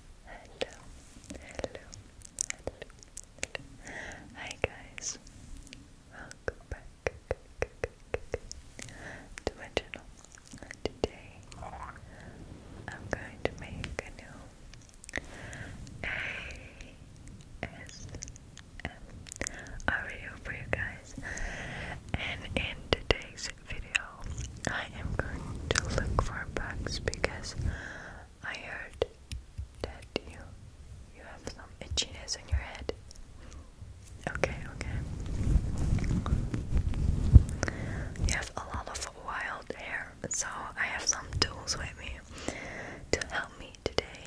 hello, hello, hello. Hi guys, welcome back to my channel. Today I'm going to make a new ASMR video for you guys, and in today's video I am going to look for bugs because I heard that you you have some itchiness in your head. Okay, okay. You have a lot of wild hair, so I have some tools with me to help me today.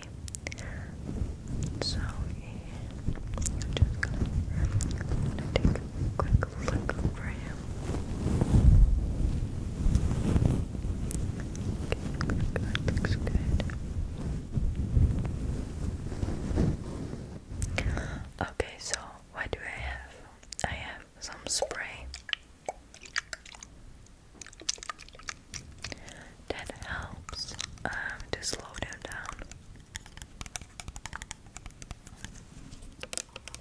So I'm just gonna, take a quick look over here. Good, good, looks good. Okay, so what do I have? I have some spray that helps um, to slow them down.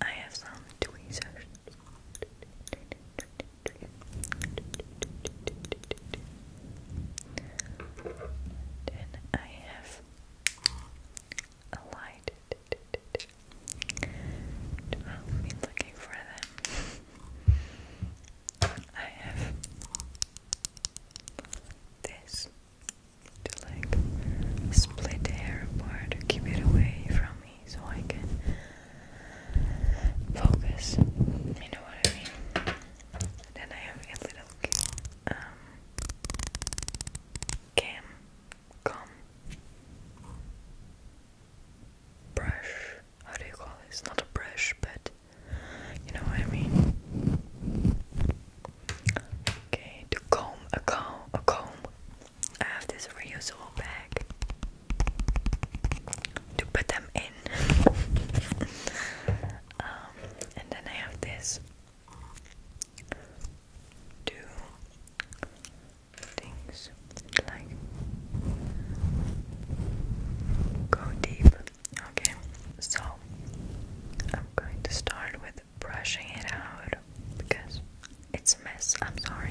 I have some tweezers. Then I have a light. I'll be looking for them. I have this to like split the hair apart to keep it away from so I can focus. You know what I mean? Then I have a little um cam com brush. How do you call it? It's not a brush, but you know what I mean. Okay, to comb a comb a comb I have this reusable bag to put them in. Um, and then I have this two things like go deep. Okay, so I'm going to start with brushing it out because it's a mess, I'm sorry.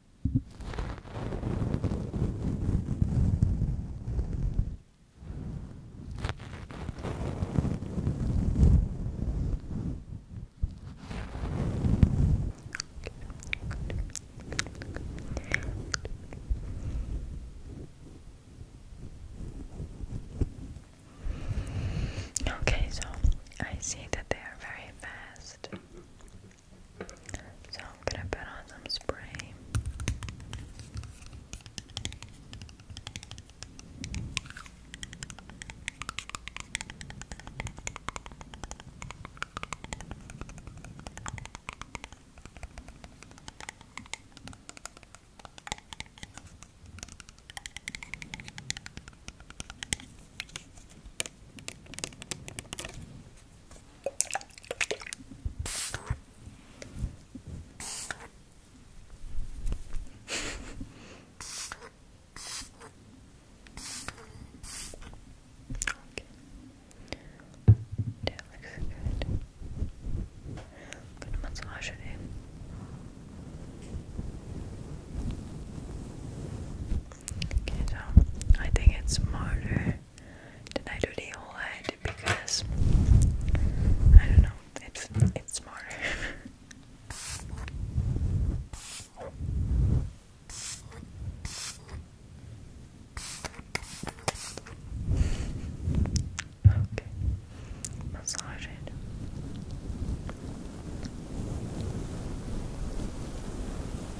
Okay, so I see that they are very fast. So i gonna put on some spray okay. That looks good. Good massage it Okay, so I think it's smarter than I do the whole head because I don't know, it's it's smarter. okay, massage it.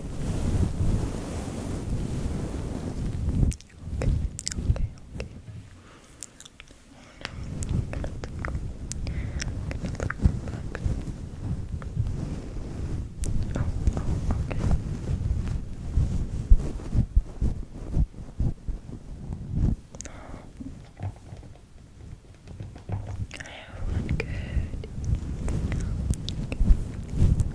okay, okay. okay. I'm gonna look, I'm gonna look back. Oh, oh, okay. Everyone good. Okay.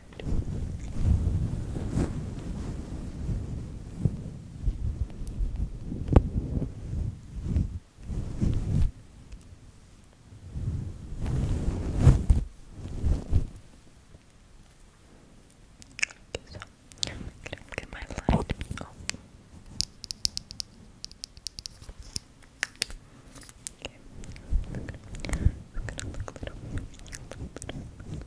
so I'm gonna get my light. Oh. Okay. I'm gonna look a little, a little, a little, a little,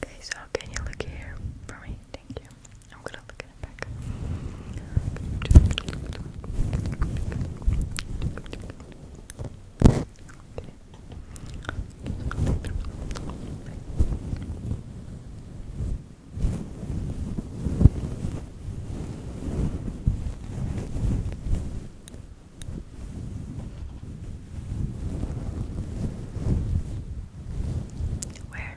Okay, so can you look here for me? Thank you. I'm gonna look it back. Where?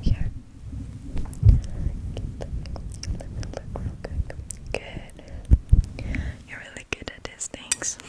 Here. Let me look real quick. Good. You're really good at these things. Okay.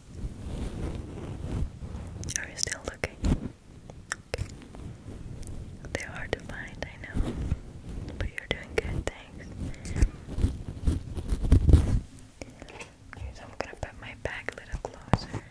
Are you still looking? They are hard to find, I know. But you're doing good, thanks. I'm gonna put my back a little closer.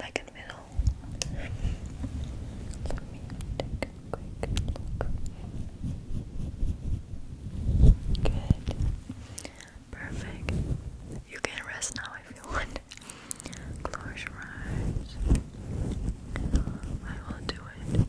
Like in the middle. Let me take a quick look. Good. Perfect. You can rest now I feel. want. Close your eyes. I will do it.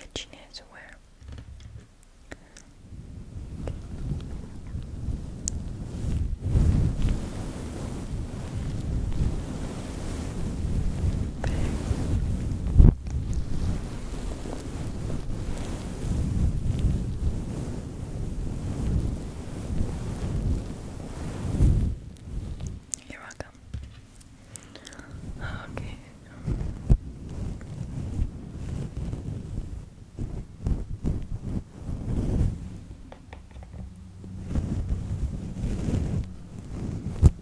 itchiness where you're welcome. Okay.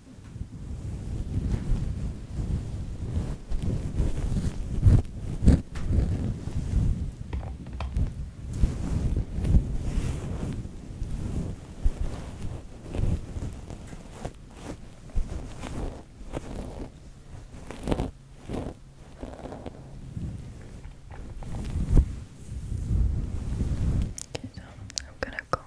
Okay, so I'm gonna go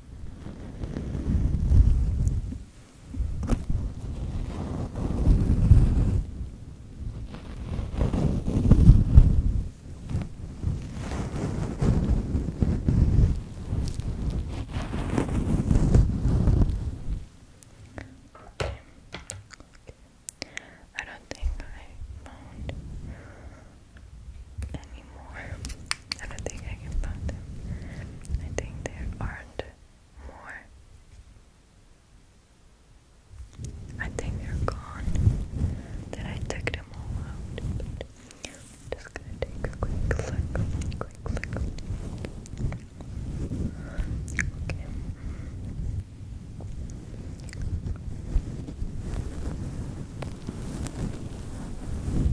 Okay. I don't think I found any I don't think I can find them. I think there aren't more. I think they're gone. Then I took them all out. just gonna take a quick look. Quick look. Okay.